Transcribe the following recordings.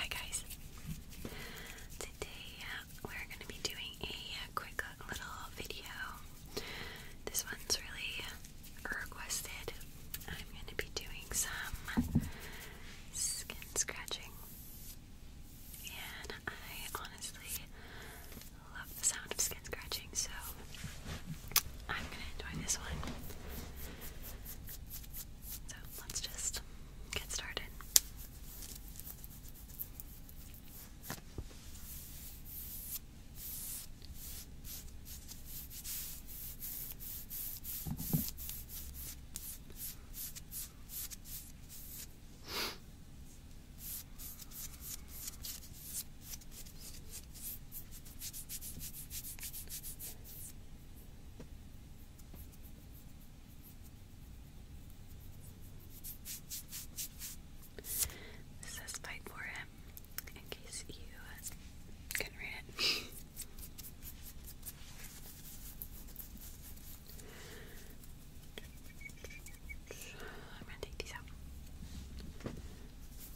Hi guys. Today uh, we're going to be doing a quick little video. This one's really requested. I'm going to be doing some skin scratching. And I honestly love the sound of skin scratching, so I'm going to enjoy this one. So let's just get started. This says fight for him in case you can read it. I'm gonna take these out.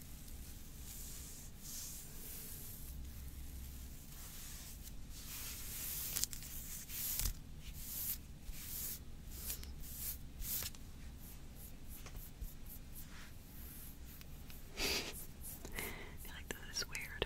I feel like this is weird.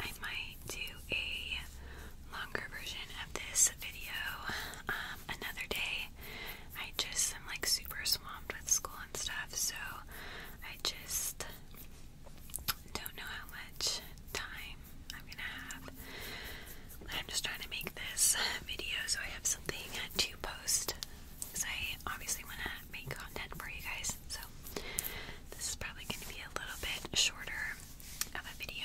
I might do a longer version of this video um, another day. I just am like super swamped with school and stuff, so I just don't know how much time I'm gonna have. I'm just trying to make this video so I have something to post because I obviously want to make content for you guys. So this is probably going to be a little bit shorter of a video.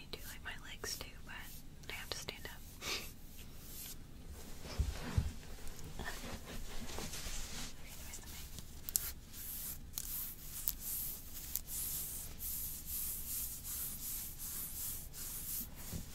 I do like my legs too, but I have to stand up.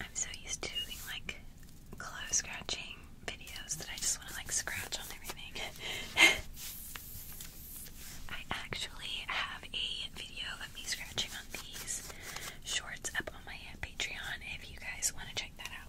I'm so used to doing like clothes scratching videos that I just want to like scratch on everything. I actually have a video of me scratching on these shorts up on my Patreon if you guys want to check that out.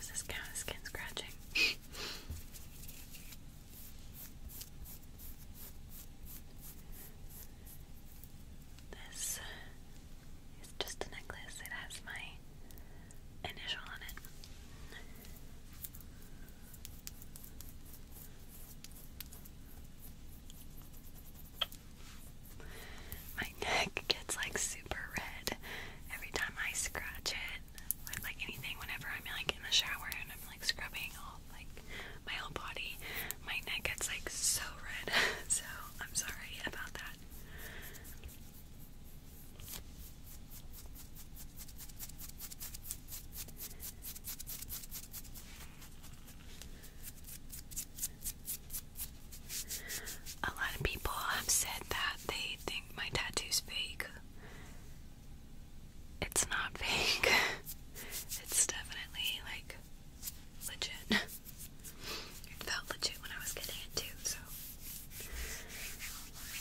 This is kind of skin scratching. this is just a necklace, it has my initial on it. My neck gets like super red every time I scratch it with like anything whenever I'm like in the shower and I'm like scrubbing all like my whole body. My neck gets like so red. so I'm sorry about that. A lot of people have said that they think my tattoo's fake. It's not fake. it's definitely like legit. it felt legit when I was getting it too, so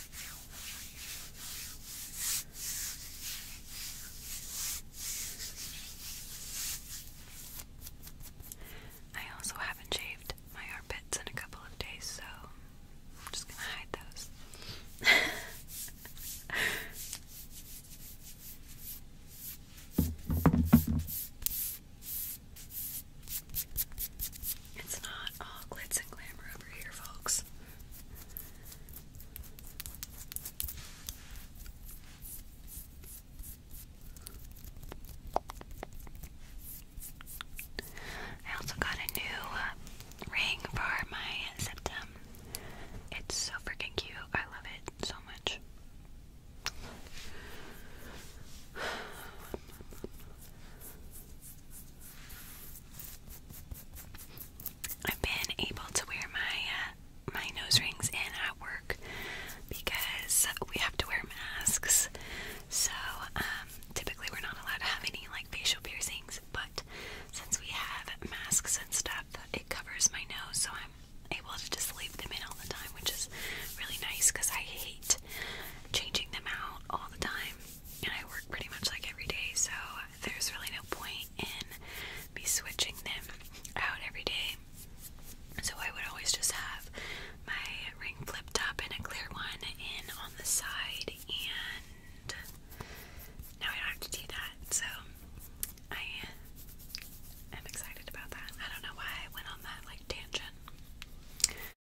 I also haven't shaved my armpits in a couple of days, so I'm just gonna hide those. it's not all glitz and glamour over here, folks. I also got a new uh, ring for my septum. It's so freaking cute. I love it so much. I've been able to wear my uh, my nose rings in at work because we have to wear masks. So um, typically we're not allowed to have any like facial piercings, but since we have masks and stuff, it covers my nose, so I'm able to just leave them in all the time, which is really nice because I hate changing them out all the time and I work pretty much like every day, so there's really no point in be switching them out every day. So I would always just have my ring flipped up and a clear one in on the side, and now I don't have to do that. So I am excited about that. I don't know why I went on that like tangent.